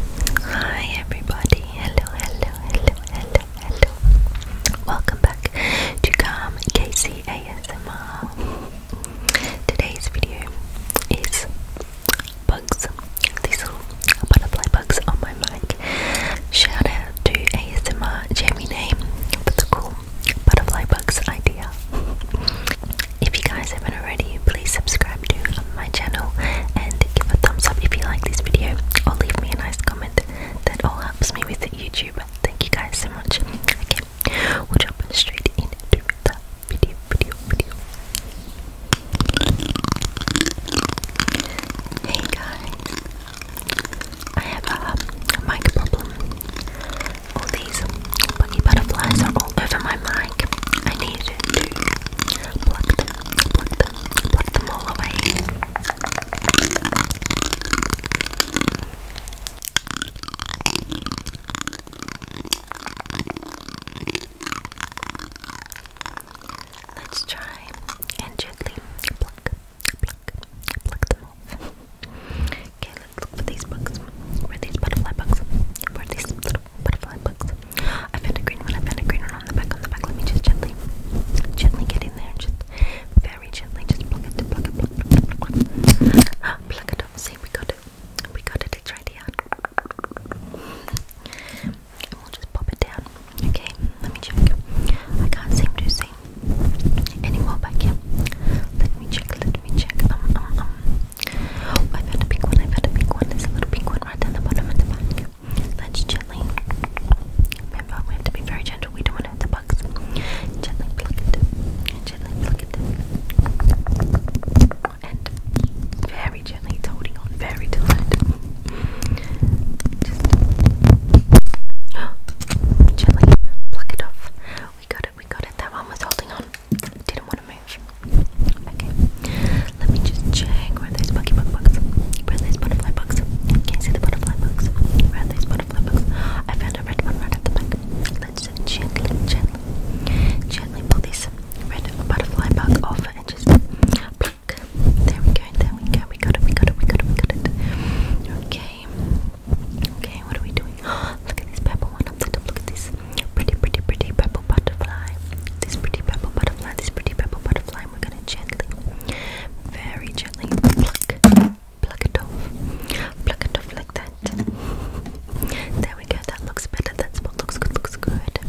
Hi everybody, hello, hello, hello, hello, hello. Welcome back to Calm Casey ASMR. Today's video is bugs. These little butterfly bugs on my mic. Shout out to ASMR Jamie Name for the cool butterfly bugs idea. If you guys have already, please subscribe to my channel and give a thumbs up if you like this video or leave me a nice comment. That all helps me with YouTube. Thank you guys so much. Okay, we'll jump straight into the video, video, video. Hey guys, I have a, um, mic problem. All these buggy butterflies are all over my mic. I needed to pluck them, pluck them, pluck them all away. Let's try and gently pluck, pluck, pluck them off. okay, let's look for these bugs. Where are these butterfly bugs? Where are these little butterfly books. I found a green one, I found a green one on the back, on the back. Let me just gently, gently get in there, just very gently, just pluck it, pluck it, pluck it, pluck it. Pluck it up, see, we got it, we got it, it's right here. And we'll just pop it down, okay? Let me check. I can't seem to see any more back here. Let me check, let me check. Um, um, um. I found a pink one. I found a pink one. There's a little pink one right down the bottom of the bag. Let's gently. Remember, we have to be very gentle. We don't want to hurt the bugs. Gently pluck it. Gently pluck it. And very gently, it's very tight. gently pluck it off. We got it. We got it. That one was holding on. Didn't want to move. Okay. Let me just check. Where are those Pokemon bugs? Where are butterfly bugs? Can you see the butterfly bugs? Where are butterfly bugs? I found a red one right at the back. Let's gently, gently, gently pull this red butterfly bug off and just pluck. There we go, there we go. We got it, we got it, we got it, we got it. Okay. Okay, what are we doing? Look at this purple one up the Look at this. Pretty, pretty, pretty purple butterfly. This pretty purple butterfly, this pretty purple butterfly. we're gonna gently, very gently pluck, pluck it off, pluck it off like that. There we go. That looks better. That's what looks good. Looks good.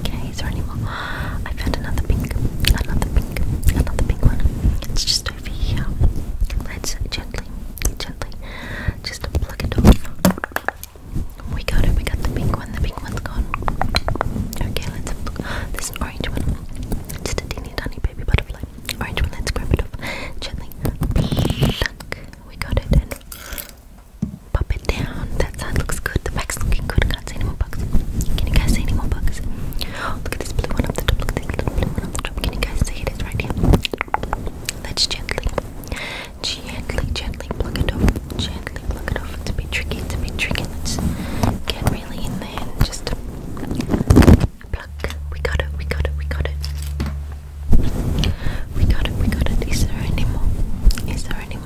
Okay. Is there any more? I found another pink, another pink, another pink one. It's just over here. Let's gently, gently, just pluck it off. We got it, we got the pink one, the pink one's gone. Okay, let's look. There's an orange one. Just a tiny, tiny baby butterfly. Orange one, let's grab it off. Gently. We got it pop it down. That side looks good. The back's looking good. Can't see any more bugs. Can you guys see any more bugs? look at this up blue one up the top. Can you guys see it? It's right here. Let's gently Gently, gently plug it over. Gently plug it over. To be tricky, to be tricky. Let's get really in there just pluck. We got it, we got it, we got it. We got it, we got it. Is there any Is there any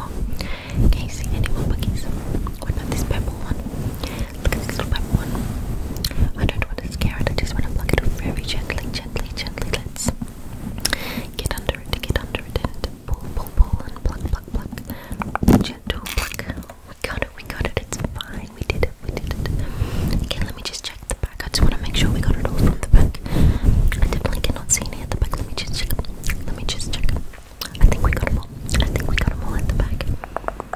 Can you see any more buggies? What about this purple one? Look at this little purple one. I don't want to scare it, I just want to plug it up very gently, gently, gently. Let's Get under it, get under it, pull, pull, pull, and pluck, pluck, pluck. Gentle pluck. We got it, we got it, it's fine. We did it, we did it. Okay, let me just check the back. I just want to make sure we got it all from the back. I definitely cannot see any at the back. Let me just check. Let me just check. I think we got them all. I think we got them all at the back.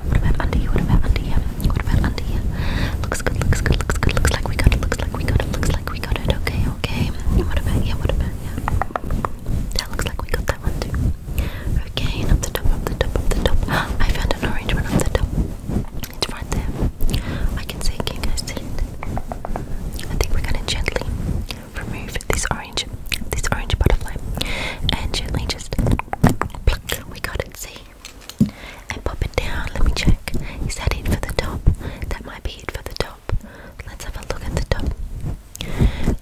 What about under here? What about under here? What about under here? Looks good, looks good, looks good, looks like we got it, looks like we got it, looks like we got it. Okay, okay. What about yeah? What about yeah? That looks like we got that one too. Okay, up the top, up the top, up the top. I found an orange one up the top. It's right there. I can see it. I think we're gonna gently remove this orange, this orange butterfly, and gently just We got it. See, and pop it down. Let me check. Is that it for the top? That might be it for the top. Let's have a look at the top.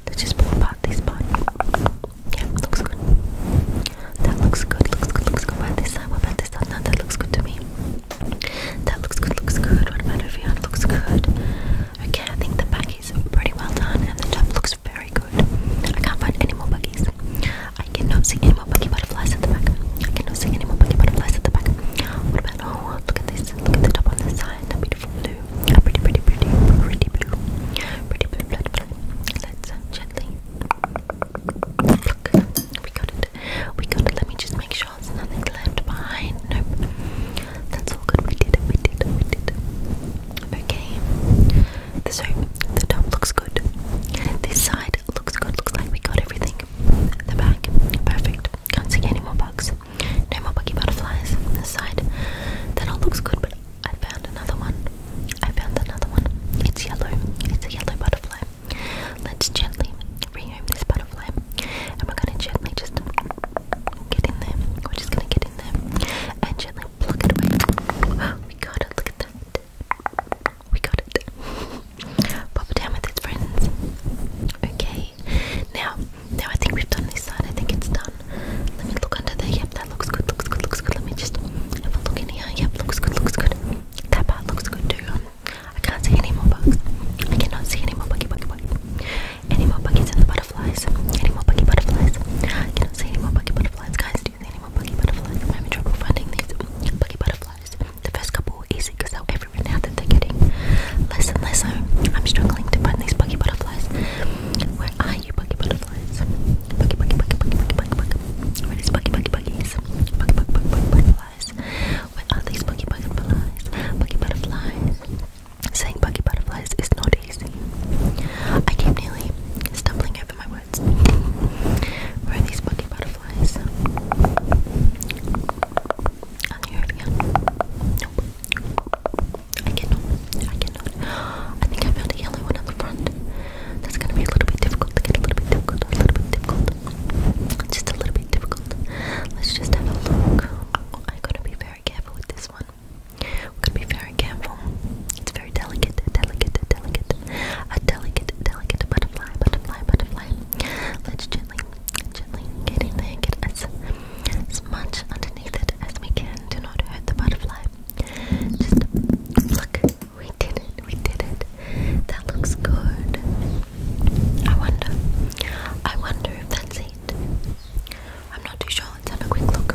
Let's just pull apart this part. Yeah, looks good. That looks good, looks good, looks good. What about this side? What about this side? No, that looks good to me. That looks good, looks good. What about over here? looks good. Okay, I think the back is pretty well done and the top looks very good. I can't find any more buggies butterflies. I cannot see any more buggy butterflies at the back. I cannot see any more buggy butterflies at the back. What about, oh, look at this. Look at the top on the side. A beautiful blue. A pretty, pretty, pretty, pretty blue. Pretty blue, blood, blood. Let's uh, gently pluck. We got it. We got it. Let me just make sure there's nothing left behind. Nope. That's all good. We did it. We did it. We did it. Okay. So the top looks good. This side looks good, looks like we got everything. The back, perfect. Can't see any more bugs. No more buggy butterflies. The side, that all looks good, but I found another one. I found another one. It's yellow. It's a yellow butterfly. Let's gently rehome this butterfly. And we're gonna gently just get in there. We're just gonna get in there and gently pluck it away. we got it, look at that. We got it. Pop down with its friends. Okay. Now, now I think we've done this side. I think it's done. Let me look under there. Yep, that looks good. Looks good. Looks good. Let me just have a look in here. Yep, looks good. Looks good. That part looks good too. Um, I can't see any more bugs. I cannot see any more buggy buggy buggy. Any more buggies and butterflies. Any more buggy butterflies. cannot see any more buggy butterflies, guys do the name of Buggy Butterfly. I'm having trouble finding these Buggy Butterflies. The first couple were easy because they're everywhere now that they're getting less and less so. I'm struggling to find these Buggy Butterflies. Where are you Buggy Butterflies? Buggy, Buggy, Buggy, Buggy, Buggy, Buggy, Buggy. Where are these Buggy, Buggy, Buggies? Buggy, Buggy, Buggy, Buggy, Butterflies. Where are these Buggy, Buggy, Butterflies? Buggy Butterflies. Saying Buggy Butterflies is not easy. I keep nearly stumbling over my words. Where are these bucky butterflies? I can hear again. Nope. I cannot. I cannot. I think I found a yellow one on the front. That's gonna be a little bit difficult a little bit difficult. A little bit difficult. Just a little bit difficult. Let's just have a look. Oh, I going to be very careful with this one. We're gonna be very careful. It's very delicate, delicate, delicate, a delicate, delicate butterfly, butterfly, butterfly. Let's gently, gently get in there, get as, as much underneath it as we can. to not hurt the butterfly. Just look, we did it, we did it. That looks good. I wonder, I wonder if that's it. I'm not too sure. Let's have a quick look.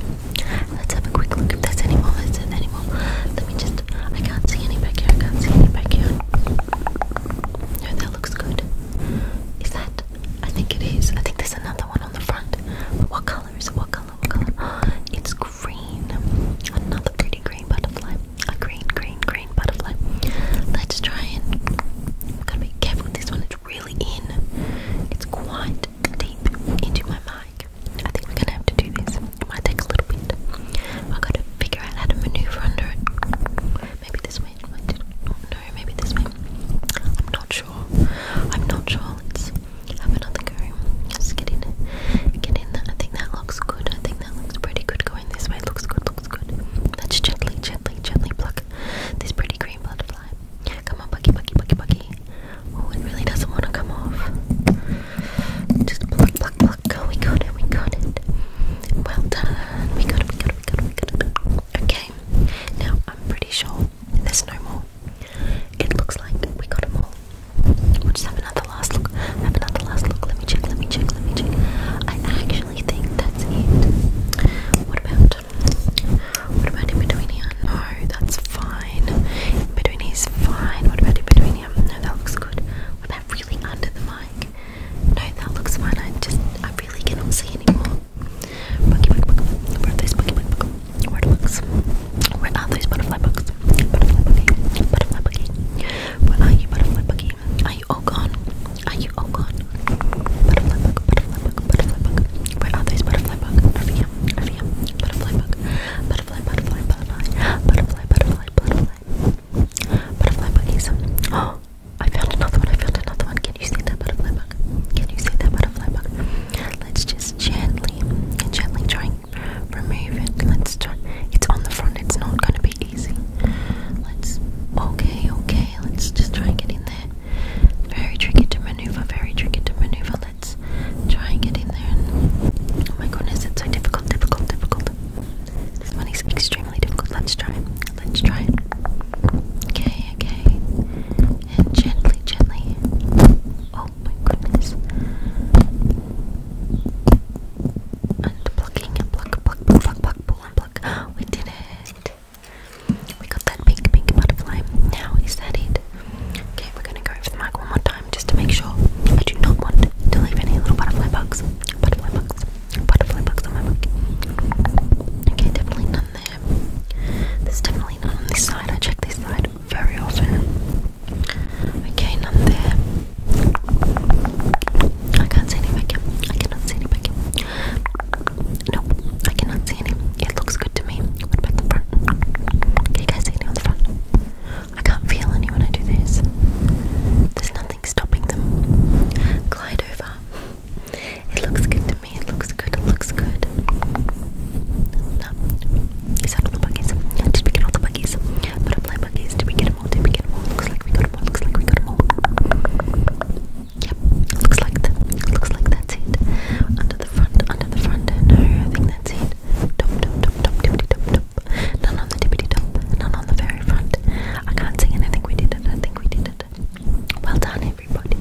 Let's have a quick look if there's any Let me just. I can't see any back here. I can't see any back here. No, that looks good. Is that? I think it is. I think there's another one on the front. what color is it? What color? What color? it's green. Another pretty green butterfly. A green, green, green butterfly. Let's try and. I've got to be careful with this one. It's really in. It's quite deep into my mind. I think we're gonna have to do this. It might take a little bit. I've got to figure out how to maneuver under it. Maybe this way. no, maybe this way. I'm not sure. I'm not sure. Let's have another go. Let's get in. Get in. I think that looks good. I think that looks pretty good. Going this way looks good. Looks good. Let's gently, gently, gently pluck this pretty green butterfly. Come on, Bucky, Bucky, Bucky, Bucky. Oh, it really doesn't want to come off. Just pluck, pluck, pluck. Oh, we got it, we got it. Well done. We got it, we got it, we got it, we got it. Okay, now I'm pretty sure there's no more. It looks like we got them all. We'll just have another last look. Have another last look. Let me check, let me check, let me check. I actually think that's it. What about, what about in between here? No, oh, that's fine. In between is fine. What about in between here? No, that looks good. What about really under the mic? No, that looks fine. I just, I really cannot see anymore. Buggy, buggy, buggy. Where are those buggy, buggy, buggy? Where are the bugs? Where are those butterfly bugs? Butterfly buggy, butterfly buggy. Where are you, butterfly buggy? Are you all gone? Are you all gone? Butterfly bug, butterfly bug, butterfly bug. Where are those butterfly bug? Over here, over here. Butterfly bug, butterfly butterfly, butterfly, butterfly, butterfly, butterfly, butterfly, Oh, I found another one. I found another one. Can you see that butterfly Can you see that butterfly Let's just gently, gently try and remove it. Let's try. It's on the front. It's not going to be easy. Let's. Okay, okay. Let's just try and get in there. Very tricky to maneuver. Very tricky to maneuver. let let's try and get in there oh my goodness it's so difficult, difficult, difficult. This one is extremely difficult. Let's try. Let's try. Okay, okay. And gently, gently. Oh my goodness. And plucking pluck, pluck, pluck, pluck, pluck, pluck. We did it. We got that pink, pink butterfly. Now is that Okay, we're gonna go over the mic one more time just to make sure I do not want to leave any little butterfly bugs. Butterfly bugs. Butterfly bugs on my mic. Okay, definitely none there. There's definitely none on this side. I check this side very often. Okay, none there. I can't see any back here. I cannot see any back here. Nope, I cannot see any. It looks good to me. What about the front? Can you guys see anyone on the front? I can't feel any when I do this. There's nothing stopping them. Glide over. It looks good to me. It looks good. It looks good. No. Is that all the buggies? Did we get all the buggies? Did we get them all? Did we get them all? Looks like we got them all. Looks like we got them all. Yep. Looks like that. Looks like that's it. Under the front. Under the front. No, None I can't sing and we did I think we did it. Well done everybody,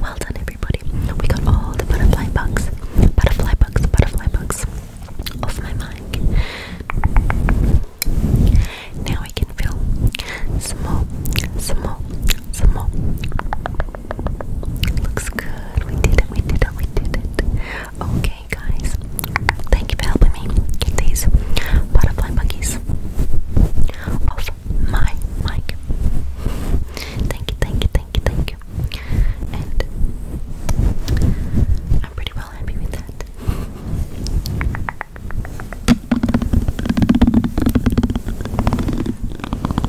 well done everybody. We got all the butterfly bugs, butterfly bugs, butterfly bugs off my mic. Now we can fill some more, some Looks good. We did it. We did it. We did it. Okay, guys. Thank you for helping me get these butterfly monkeys off my mic. Thank you. Thank you. Thank you. Thank you. And I'm pretty well happy with that.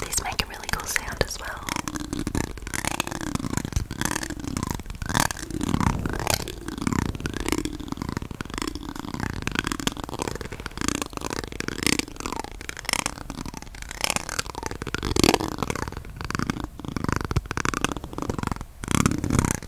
These make a really cool sound as well.